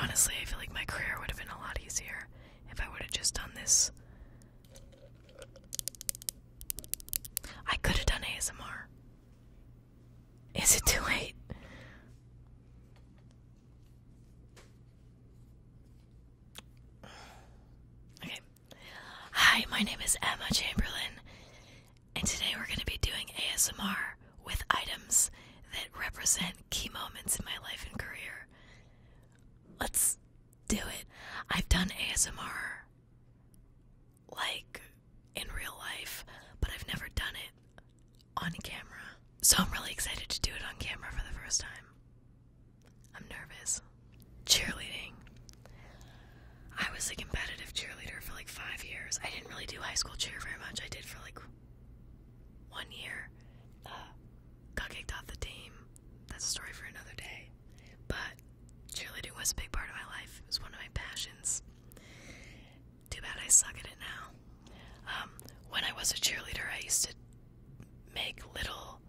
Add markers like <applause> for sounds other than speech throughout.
Honestly, I feel like my career would have been a lot easier if I would have just done this. I could have done ASMR. Is it too late? Okay. Hi, my name is Emma Chamberlain, and today we're going to be doing ASMR with items that represent key moments in my life and career. Let's do it. I've done ASMR like in real life, but I've never done it on camera. So I'm really excited to do it on camera for the first time. I'm nervous. Cheerleading. I was a competitive cheerleader for like five years. I didn't really do high school cheer very much. I did for like one year, uh, got kicked off the team. That's a story for another day. But cheerleading was a big part of my life. It was one of my passions. Too bad I suck at it now. Um, when I was a cheerleader, I used to make little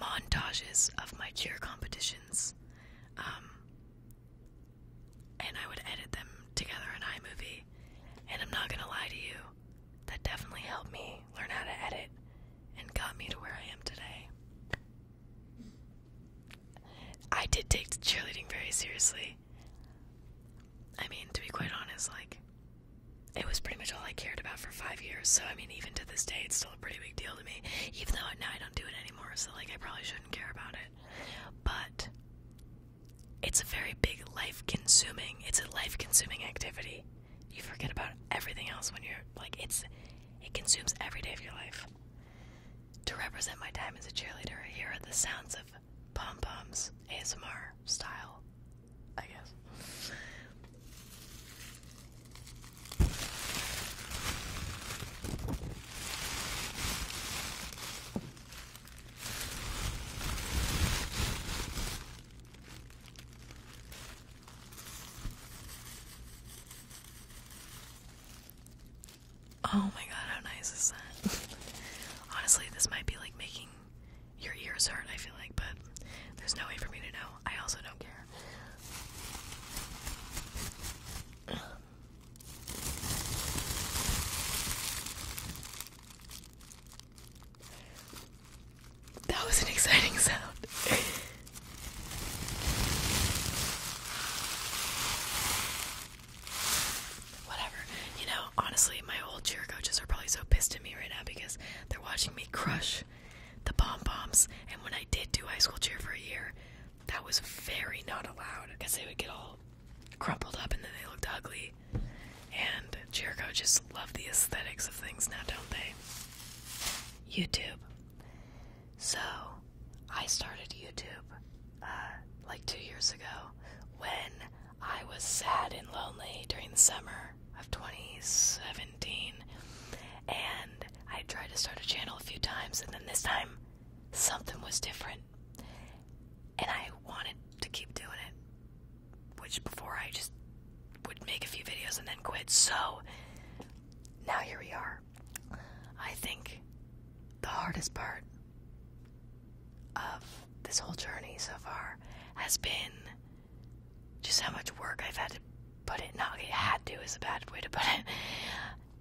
montages of my cheer competitions. Um, and I would edit them together in iMovie. And I'm not gonna lie to you, that definitely helped me learn how to edit and got me to where I am today. I did take cheerleading very seriously. I mean, to be quite honest, like, it was pretty much all I cared about for five years, so I mean, even to this day, it's still a pretty big deal to me, even though now I don't do it anymore, so like, I probably shouldn't care about it. But it's a very big life consuming it's a life consuming activity you forget about everything else when you're like it's it consumes every day of your life to represent my time as a cheerleader here are the sounds of pom poms asmr style i guess Oh my god, how nice is that? <laughs> Honestly, this might be like making your ears hurt, I feel like, but there's no way for me to know. I also don't care. That was an exciting sound. Whatever. You know, honestly, my old cheer coaches are probably so pissed at me right now because they're watching me crush the bomb bombs. And when I did do high school cheer for a year, that was very not allowed because they would get all crumpled up and then they looked ugly. And Jericho just loved the aesthetics of things now, don't they? YouTube. So, I started YouTube uh, like two years ago when I was sad and lonely during the summer of 2017. And I tried to start a channel a few times, and then this time something was different. And I wanted to keep doing it, which before I just would make a few videos and then quit. So now here we are. I think the hardest part of this whole journey so far has been just how much work I've had to put it. Not it had to is a bad way to put it. <laughs>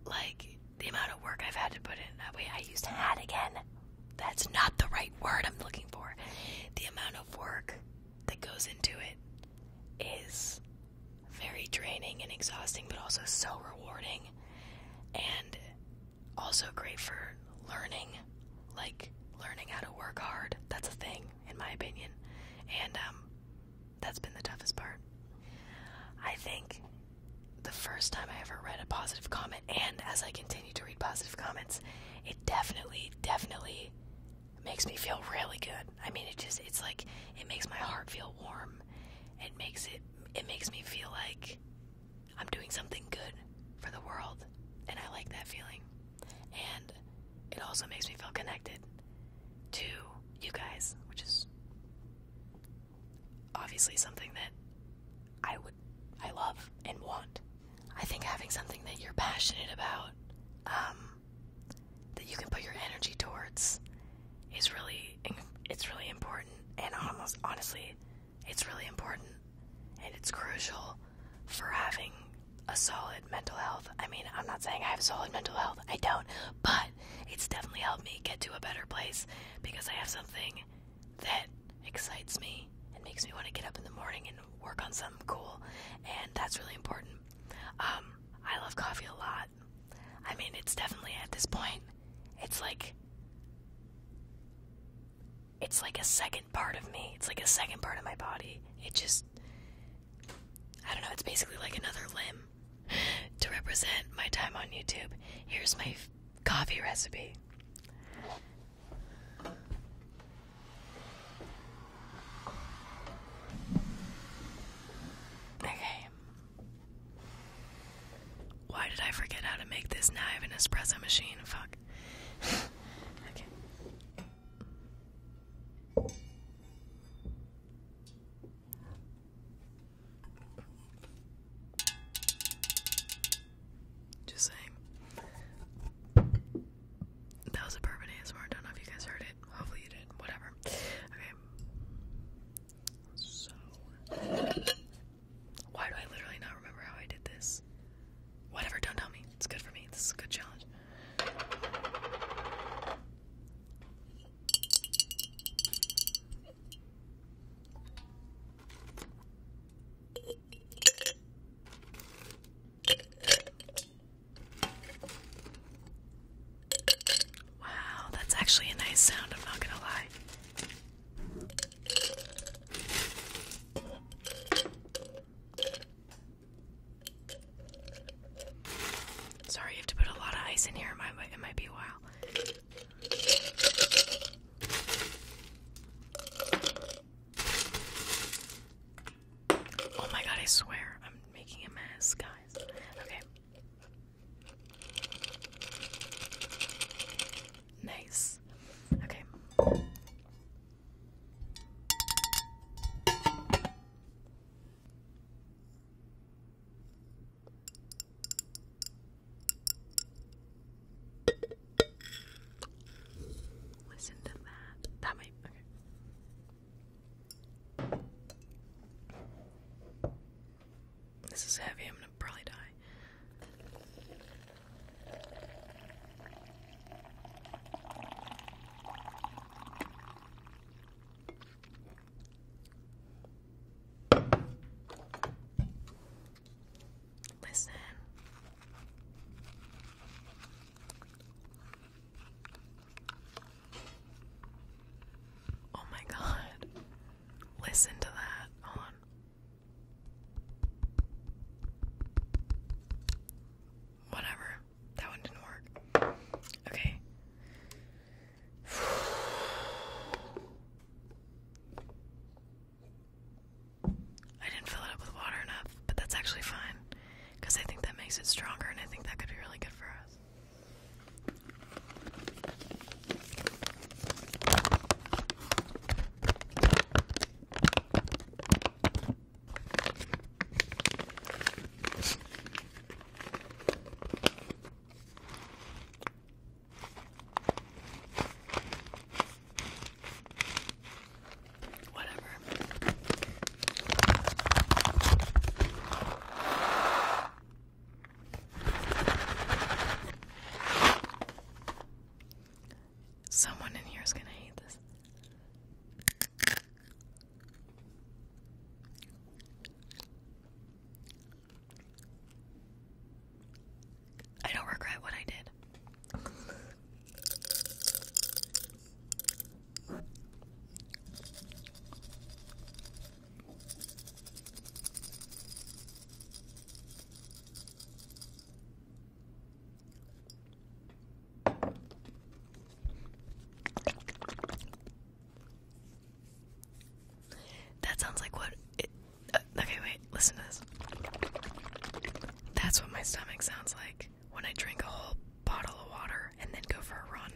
Like the amount of work I've had to put in. Uh, wait, I used had again. That's not the right word I'm looking for. The amount of work that goes into it is very draining and exhausting, but also so rewarding and also great for learning. Like, learning how to work hard. That's a thing, in my opinion. And um, that's been the toughest part. I think the first time I ever read a positive comment, and as I continue to read positive comments, it definitely, definitely makes me feel really good. I mean, it just, it's like, it makes my heart feel warm. It makes it, it makes me feel like I'm doing something good for the world, and I like that feeling. And it also makes me feel connected to you guys, which is obviously something that I would I love and want. I think having something that you're passionate about, um, that you can put your energy towards, is really it's really important. And almost honestly, it's really important and it's crucial for having a solid mental health. I mean, I'm not saying I have solid mental health. I don't, but it's definitely helped me get to a better place because I have something that excites me and makes me want to get up in the morning and work on something cool, and that's really important. Um, I love coffee a lot. I mean, it's definitely at this point, it's like it's like a second part of me. It's like a second part of my body. It just I don't know, it's basically like another limb <laughs> to represent my time on YouTube. Here's my coffee recipe. Okay. Why did I forget how to make this knife and espresso machine? Fuck. <laughs> okay. Just saying. That was a perfect answer. I don't know if you guys heard it. Hopefully you did. Whatever. Okay. So. Why do I literally not remember how I did this? Whatever, don't tell me. It's good for me. This is a good challenge. Wow, that's actually a nice sound, I'm not gonna lie. Sorry, you have to put a lot of ice in here. It might, it might be a while. Oh my god, I swear I'm making a mess, guys. Okay. Nice. Okay. Listen to that. That might okay. This is heavy, I'm gonna probably die. Listen. Oh my god. Listen to that. Hold on. Whatever. That one didn't work. Okay. I didn't fill it up with water enough, but that's actually fine because I think that makes it stronger and I think that could be really good for us. Whatever. Someone in here is going to hate this. I don't regret what I did. That sounds like what it. Uh, okay, wait, listen to this. That's what my stomach sounds like when I drink a whole bottle of water and then go for a run.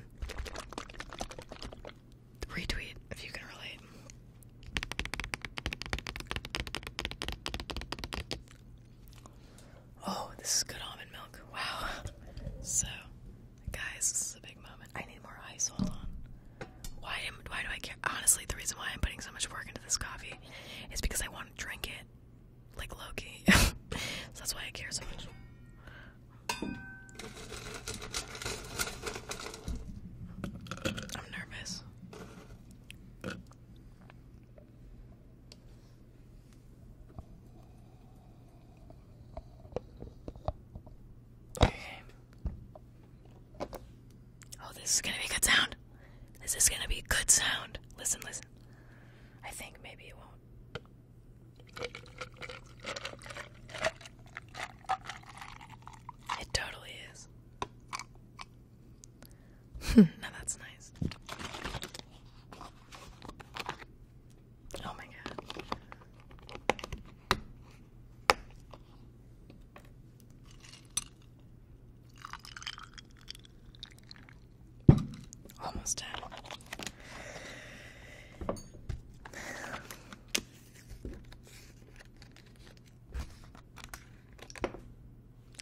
Retweet if you can relate. Oh, this is good almond milk. Wow. <laughs> So, Guys, this is a big moment. I need more ice. Hold on. Why am why do I care? Honestly, the reason why I'm putting so much work into this coffee is because I want to drink it. Like Loki. <laughs> so that's why I care so much. I'm nervous. Okay. Oh, this is gonna be a good sound. This is gonna be a good sound. Listen, listen. I think maybe it won't. It totally is. <laughs> now that's nice. Oh my god. Almost done.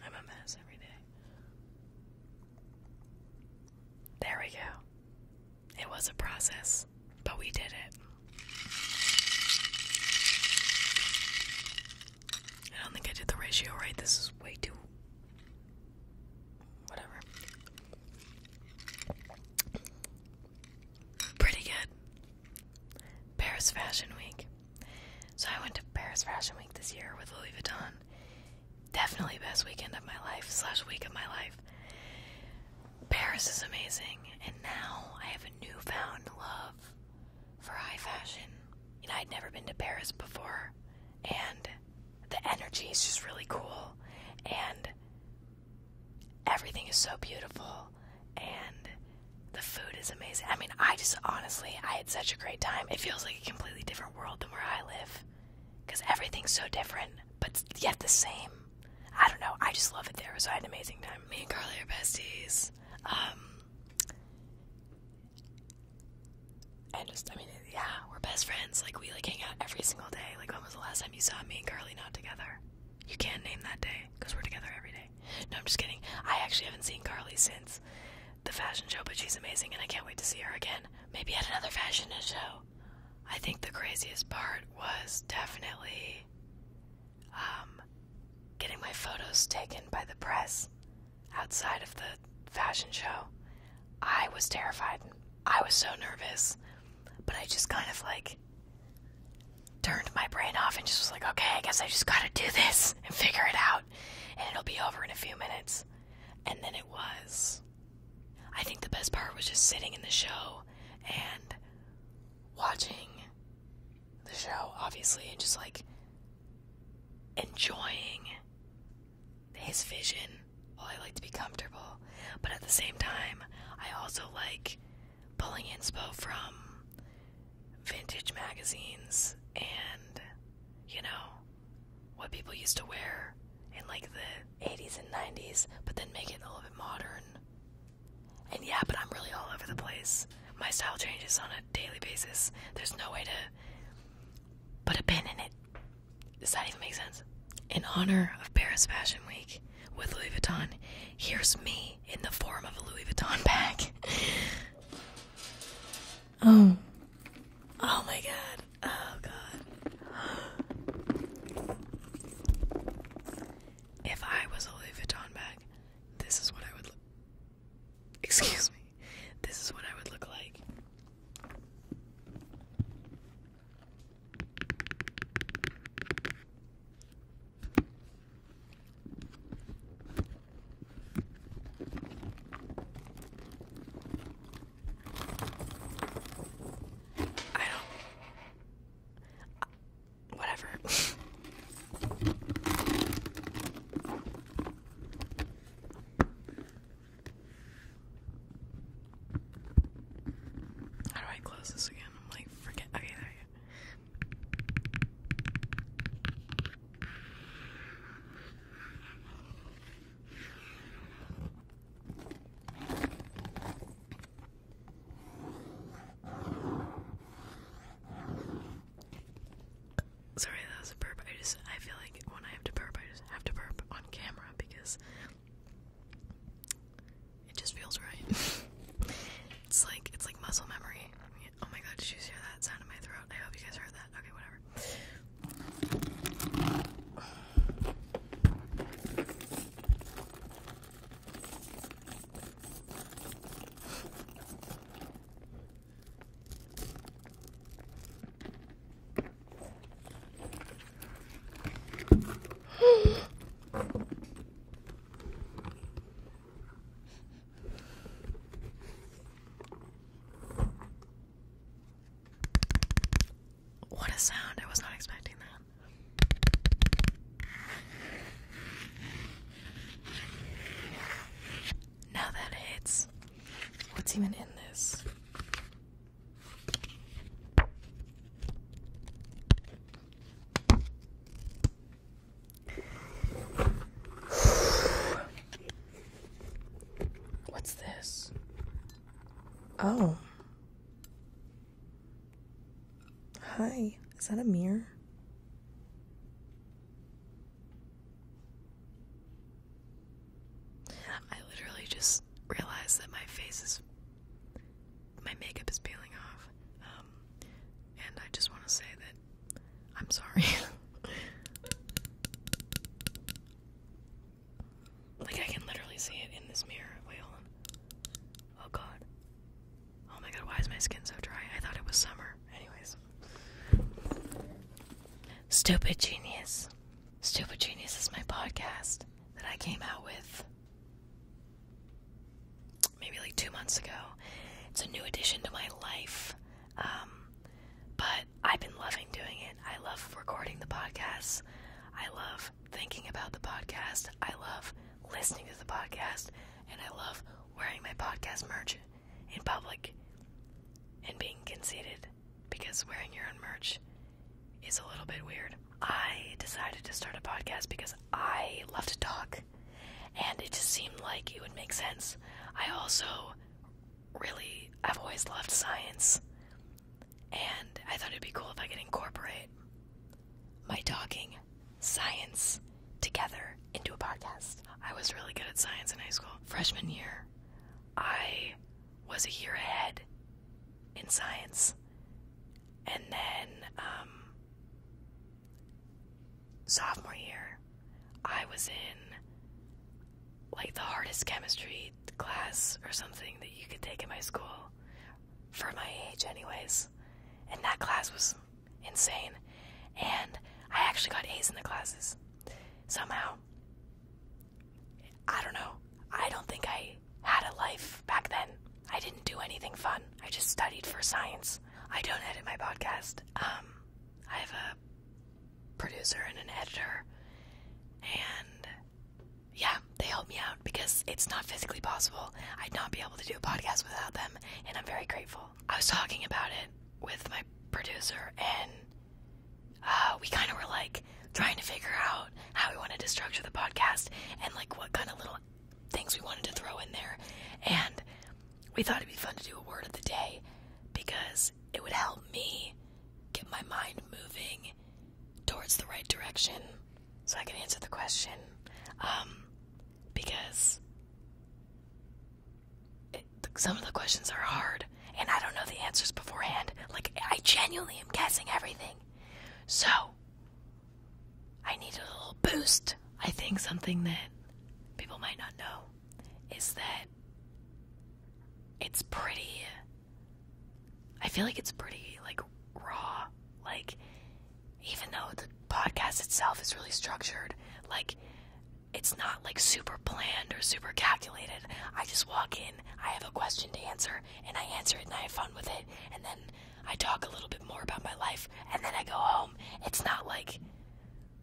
I'm a mess every day. There we go. It was a process, but we did it. I don't think I did the ratio right. This is way too. whatever. Pretty good. Paris Fashion Week. So I went to Paris Fashion Week this year with Louis Vuitton. Definitely best weekend of my life slash week of my life. Paris is amazing, and now I have a newfound love for high fashion. And I'd never been to Paris before, and the energy is just really cool, and everything is so beautiful, and the food is amazing. I mean, I just honestly, I had such a great time. It feels like a completely different world than where I live because everything's so different, but yet the same. I don't know. I just love it there, so I had an amazing time. Me and Carly are besties. Um, and just, I mean, yeah, we're best friends. Like we like hang out every single day. Like when was the last time you saw me and Carly not together? You can't name that day because we're together every day. No, I'm just kidding. I actually haven't seen Carly since the fashion show, but she's amazing, and I can't wait to see her again. Maybe at another fashion show. I think the craziest part was definitely um, getting my photos taken by the press outside of the fashion show, I was terrified. I was so nervous, but I just kind of like turned my brain off and just was like, okay, I guess I just gotta do this and figure it out, and it'll be over in a few minutes. And then it was. I think the best part was just sitting in the show and watching the show, obviously, and just like enjoying his vision. Well, I like to be comfortable, but at the same time, I also like pulling inspo from vintage magazines and, you know, what people used to wear in like the 80s and 90s, but then make it a little bit modern. And yeah, but I'm really all over the place. My style changes on a daily basis. There's no way to put a pin in it. Does that even make sense? In honor of Paris Fashion Week with Louis Vuitton, here's me in the form of a Louis Vuitton bag. oh. Oh my god. Oh god. If I was a Louis Vuitton bag, this is what I would look. Excuse me. This is what I would look like. I don't whatever. How do I close this again? I'm like, forget. Okay, there you go. Sorry, that was a burp. I just I feel like when I have to burp, I just have to burp on camera because it just feels right. <laughs> it's like it's like muscle memory. Oh my god, did you hear that sound in my throat? I hope you guys heard that. Okay, whatever. What a sound. I was not expecting that. Now that it's what's even in this? What's this? Oh. Hi, is that a mirror? I literally just realized that my face is. My makeup is peeling off. Um, and I just want to say that I'm sorry. <laughs> Like I can literally see it in this mirror. Wait, hold on. Oh god. Oh my god, why is my skin so dry? I thought it was summer. Anyways. Stupid Genius. Stupid Genius is my podcast that I came out with maybe like two months ago. It's a new addition to my life. Um, but I've been loving doing it. I love recording the podcasts. I love thinking about the podcast. I love listening to the podcast. And I love wearing my podcast merch in public and being conceited because wearing your own merch is a little bit weird. I decided to start a podcast because I love to talk and it just seemed like it would make sense. I also really, I've always loved science and I thought it'd be cool if I could incorporate my talking science together into a podcast. I was really good at science in high school. Freshman year, I was a year ahead in science. And then, um, sophomore year, I was in like the hardest chemistry class or something that you could take in my school for my age, anyways. And that class was insane. And I actually got A's in the classes. Somehow. I don't know. I don't think I had a life back then. I didn't do anything fun. I just studied for science. I don't edit my podcast. Um, I have a producer and an editor. And yeah, they help me out because it's not physically possible. I'd not be able to do a podcast without them, and I'm very grateful. I was talking about it with my producer, and uh, we kind of were like trying to figure out how we wanted to structure the podcast and like what kind of little things we wanted to throw in there. And we thought it'd be fun to do a word of the day because it would help me get my mind moving towards the right direction so I can answer the question. Um, because some of the questions are hard and I don't know the answers beforehand. Like, I genuinely am guessing everything. So, I need a little boost. I think something that people might not know is that it's pretty I feel like it's pretty like raw. Like even though the podcast itself is really structured, like it's not like super planned or super calculated. I just walk in, I have a question to answer, and I answer it and I have fun with it, and then I talk a little bit more about my life, and then I go home. It's not like,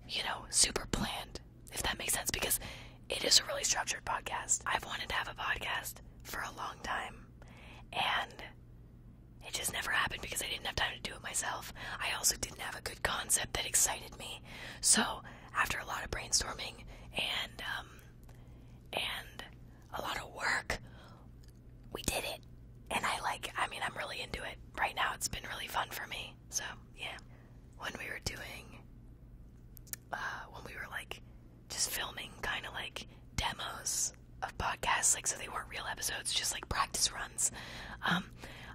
you know, super planned, if that makes sense, because it is a really structured podcast. I've wanted to have a podcast for a long time and it just never happened because I didn't have time to do it myself. I also didn't have a good concept that excited me. So after a lot of brainstorming and um, and a lot of work, we did it. And I like. I mean, I'm really into it right now. It's been really fun for me. So yeah, when we were doing uh, when we were like just filming kind of like demos of podcasts, like so they weren't real episodes, just like practice runs. Um,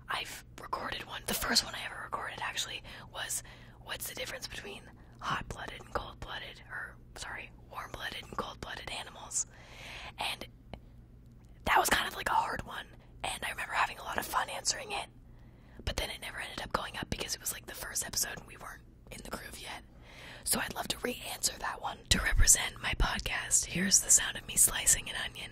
I've recorded one. The first one I ever recorded actually was what's the difference between hot blooded and cold blooded, or sorry, warm blooded and cold blooded animals. And that was kind of like a hard one, and I remember having a lot of fun answering it. But then it never ended up going up because it was like the first episode and we weren't in the groove yet. So I'd love to re answer that one. To represent my podcast, here's the sound of me slicing an onion.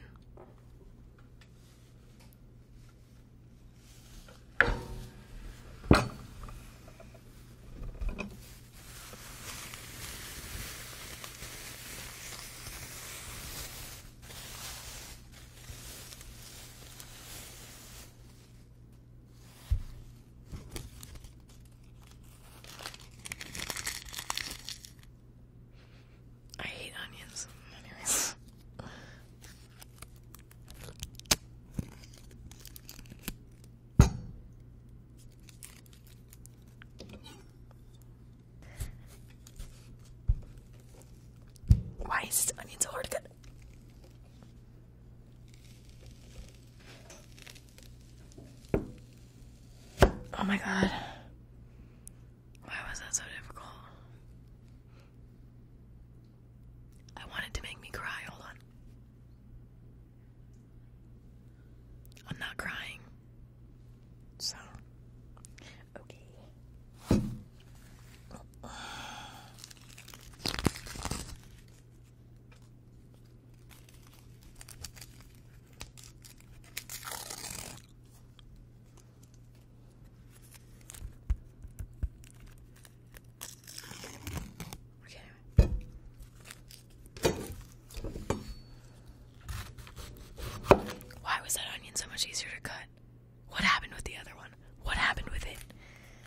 I hate onions. Anyways. Why is onion so hard to get? Oh my god. Why was that so difficult? I wanted to make me cry. Hold on. I'm not crying. So, okay. Why was that onion so much easier to cut? What happened with the other one? What happened with it?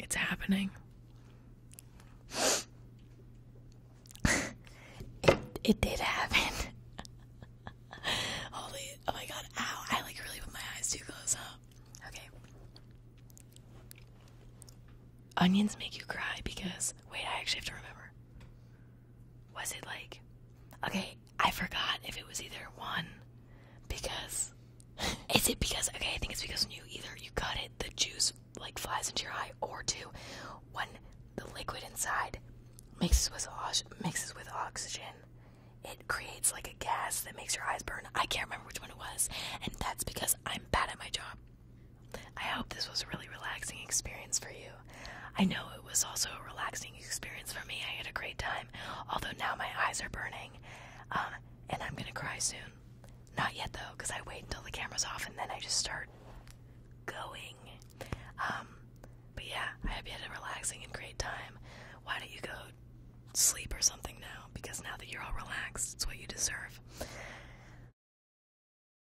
It's happening. it, it did happen. <laughs> Holy, oh my god, ow. I like really put my eyes too close up. Okay. Onions make you cry because, wait, I actually have to remember was it like okay i forgot if it was either one because <laughs> is it because okay i think it's because when you either you cut it the juice like flies into your eye or two when the liquid inside mixes with mixes with oxygen it creates like a gas that makes your eyes burn i can't remember which one it was and that's because i'm bad at my job I hope this was a really relaxing experience for you. I know it was also a relaxing experience for me. I had a great time, although now my eyes are burning, uh, and I'm gonna cry soon. Not yet though, because I wait until the camera's off and then I just start going. Um, but yeah, I hope you had a relaxing and great time. Why don't you go sleep or something now? Because now that you're all relaxed, it's what you deserve.